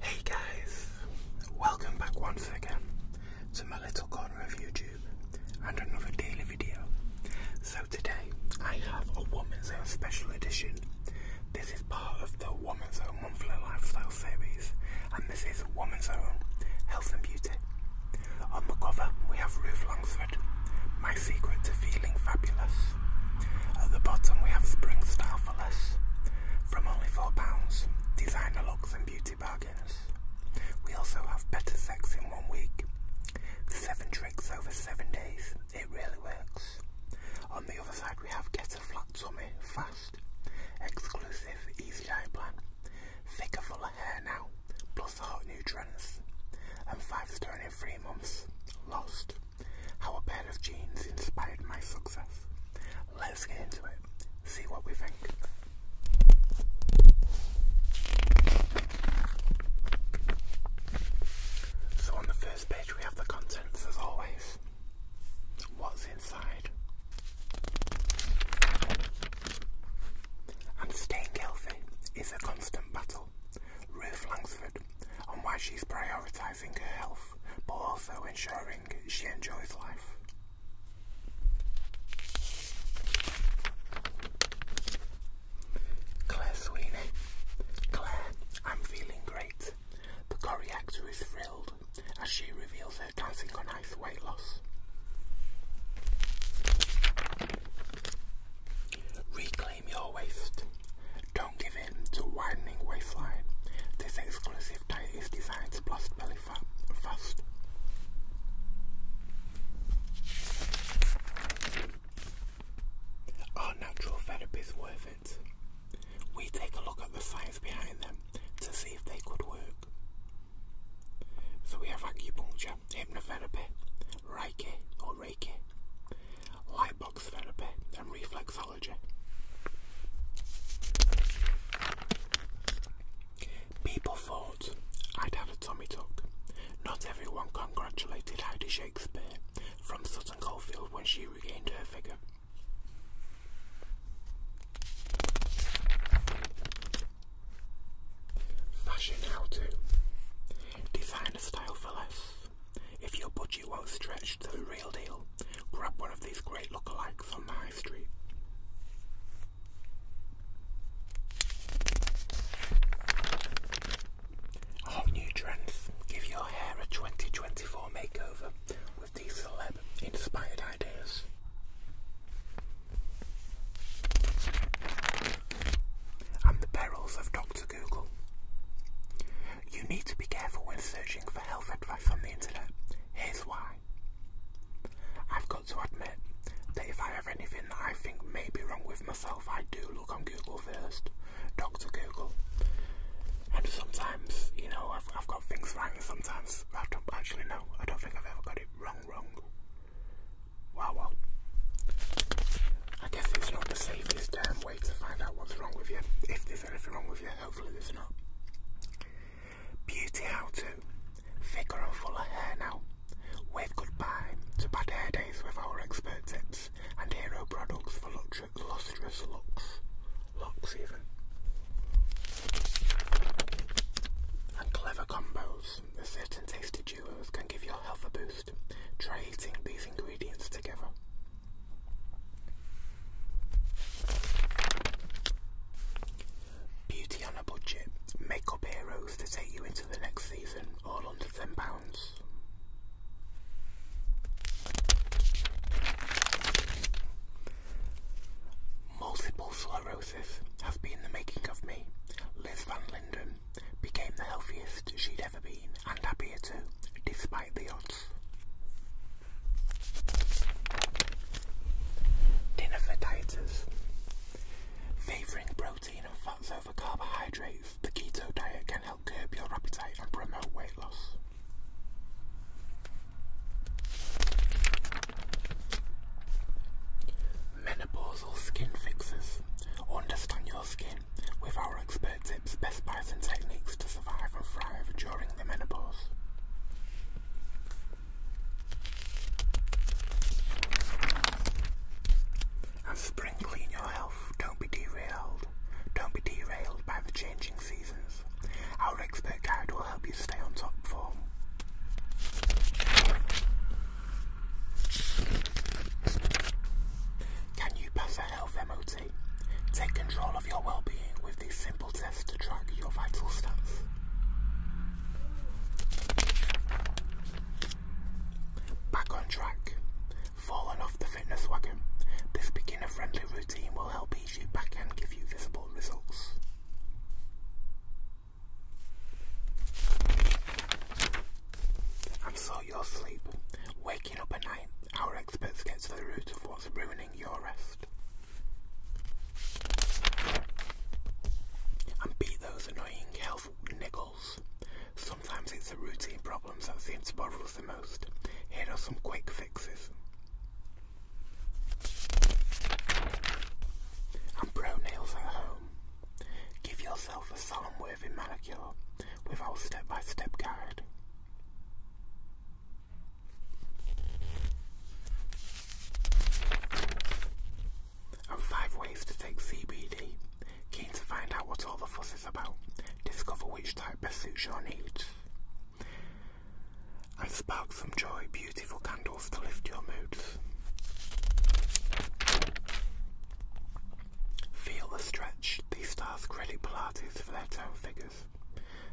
Hey guys, welcome back once again to my little corner of YouTube and another daily video. So today I have a Woman's Own Special Edition. This is part of the Woman's Own Monthly Lifestyle series and this is Woman's Own Health and Beauty on the cover, we have Ruth Langsford, My Secret to Feeling Fabulous. At the bottom, we have Spring Style for Less, from only £4, designer looks and beauty bargains. We also have Better Sex in One Week, 7 tricks over 7 days, it really works. On the other side, we have Get a Flat Tummy, Fast, Exclusive, Easy Diet Plan, Figure for plus the hot new trends. And five stone in three months. Lost. How a pair of jeans inspired my success. Let's get into it. See what we think. So on the first page we have the contents as always. What's inside? and staying healthy is a constant battle. Ruth Langsford on why she's prioritising her health but also ensuring she enjoys life. Claire Sweeney. Claire, I'm feeling great. The Corrie actor is thrilled as she reveals her dancing weight loss. Reclaim your waist. Don't give in to widening waistline. This exclusive diet is designed to blast belly fat fast. Are natural therapies worth it? We take a look at the science behind them to see if they could work. So we have acupuncture, hypnotherapy, Reiki or Reiki, lightbox therapy, and reflexology. People thought I'd have a tummy tuck. Not everyone congratulated Heidi Shakespeare from Sutton Coldfield when she regained her figure. Fashion how to design a style for less. If your budget won't stretch to the real deal, grab one of these great lookalikes on the high street. All new trends. Give your hair a 2024 makeover with these celeb inspired ideas and the perils of Dr. Google. You need to be careful when searching for health advice on the internet. Here's why. I've got to admit that if I have anything that I think may be wrong with myself, I do look on Google first. Dr. Google. And sometimes, you know, I've, got things wrong. sometimes I don't actually know. I don't think I've ever got it wrong. Wow, I guess it's not the safest damn way to find out what's wrong with you. If there's anything wrong with you, hopefully there's not. Beauty how to. Thicker and fuller hair now. Wave goodbye to bad hair days with our expert tips and hero products for lustrous looks. Locks even. And clever combos certain tasty duos can give your health a boost. Try eating these ingredients together. Beauty on a budget. Makeup heroes to take you into the next season, all under £10. Multiple slow has been the making of me. Liz Van Linden became the healthiest she'd ever been, and happier too, despite the odds. Dinner for dieters. Favouring protein and fats over carbohydrates, the keto diet can help curb your appetite and promote weight loss. Menopausal skin fixes. Understand your skin with our expert tips, best buys, and techniques to survive and thrive during the menopause. And spring clean your health. Don't be derailed. Don't be derailed by the changing seasons. Our expert guide will help you stay on top form. Can you pass a health MOT? Take control of your well-being with this simple test to track your vital stats. Back on track. Fallen off the fitness wagon. This beginner-friendly routine will help ease you back and give you visible results. I'm And you your sleep, waking up at night, our experts get to the root of what's ruining your rest. And beat those annoying health niggles. Sometimes it's the routine problems that seem to bother us the most. Here are some quick fixes. And pro nails at home. Give yourself a solemn worthy manicure with our step by step guide. And five ways to take CBD. Keen to find out what all the fuss is about. Discover which type best suits your needs and spark some joy, beautiful candles to lift your moods. Feel the stretch. These stars credit Pilates for their tone figures.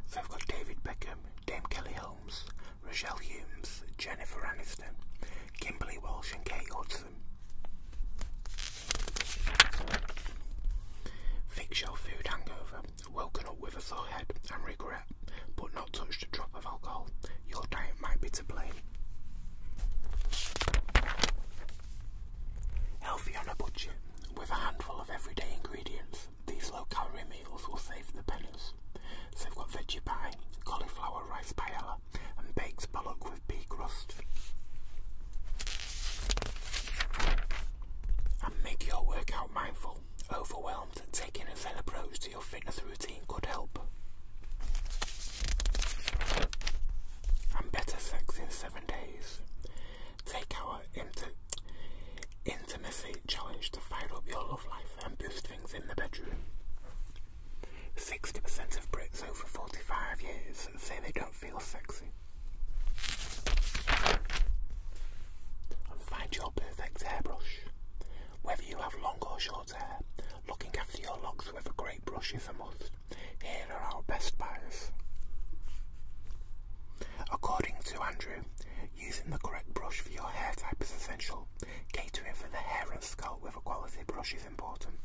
So I've got David Beckham, Dame Kelly Holmes, Rochelle Humes, Jennifer Aniston, Kimberly Walsh, and Kate Hudson. Fix your food hangover woken up with a full head and regret, but not touched a drop of alcohol, your diet might be to blame. Healthy on a budget, with a handful of everyday ingredients, these low calorie meals will save the pennies. So we have got veggie pie, cauliflower rice paella, and baked pollock with pea crust. And make your workout mindful overwhelmed, taking a fell approach to your fitness routine could help. And better sex in seven days. Take our intimacy challenge to fire up your love life and boost things in the bedroom. 60% of Brits over 45 years say they don't feel sexy find your perfect hairbrush. Whether you have long or short hair, looking after your locks with a great brush is a must. Here are our best buys. According to Andrew, using the correct brush for your hair type is essential. Catering for the hair and scalp with a quality brush is important.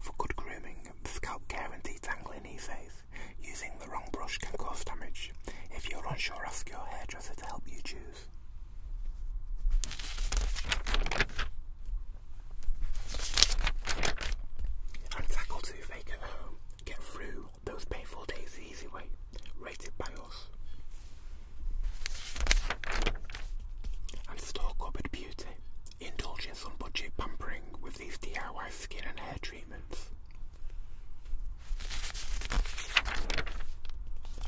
For good grooming, scalp care and detangling, he says. Using the wrong brush can cause damage. If you're unsure, ask your hairdresser to help you choose. And tackle toothache at home. Get through those painful days the easy way. Rated by us. And store cupboard beauty. Indulge in some budget pampering with these DIY skin and hair treatments.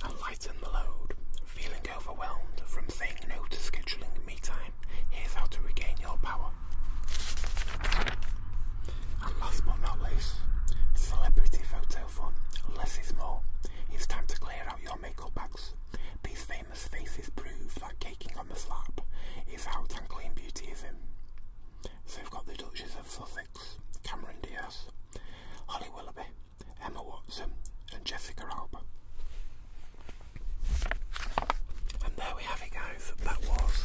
And lighten the load. Feeling overwhelmed from saying no to scheduling me time? Here's how to regain your power. And last but not least, celebrity photo fun. Less is more. It's time to clear out your makeup bags. These famous faces prove that caking on the slap is out and clean beauty is in. So we've got the Duchess of Sussex, Cameron Diaz, Holly Willoughby, Emma Watson, and Jessica Alba. And there we have it, guys. That was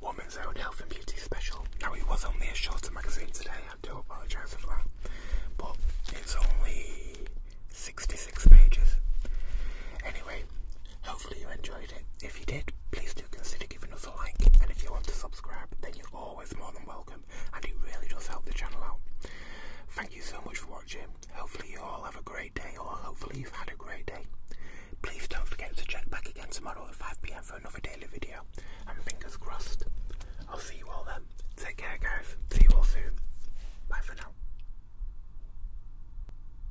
Woman's Own Health and Beauty Special. Now, it was only a shorter magazine today, I do apologise for that, but it's only 66 pages. Anyway, Hopefully you enjoyed it. If you did, please do consider giving us a like. And if you want to subscribe, then you're always more than welcome. And it really does help the channel out. Thank you so much for watching. Hopefully you all have a great day, or hopefully you've had a great day. Please don't forget to check back again tomorrow at 5pm for another daily video. And fingers crossed, I'll see you all then. Take care guys. See you all soon. Bye for now.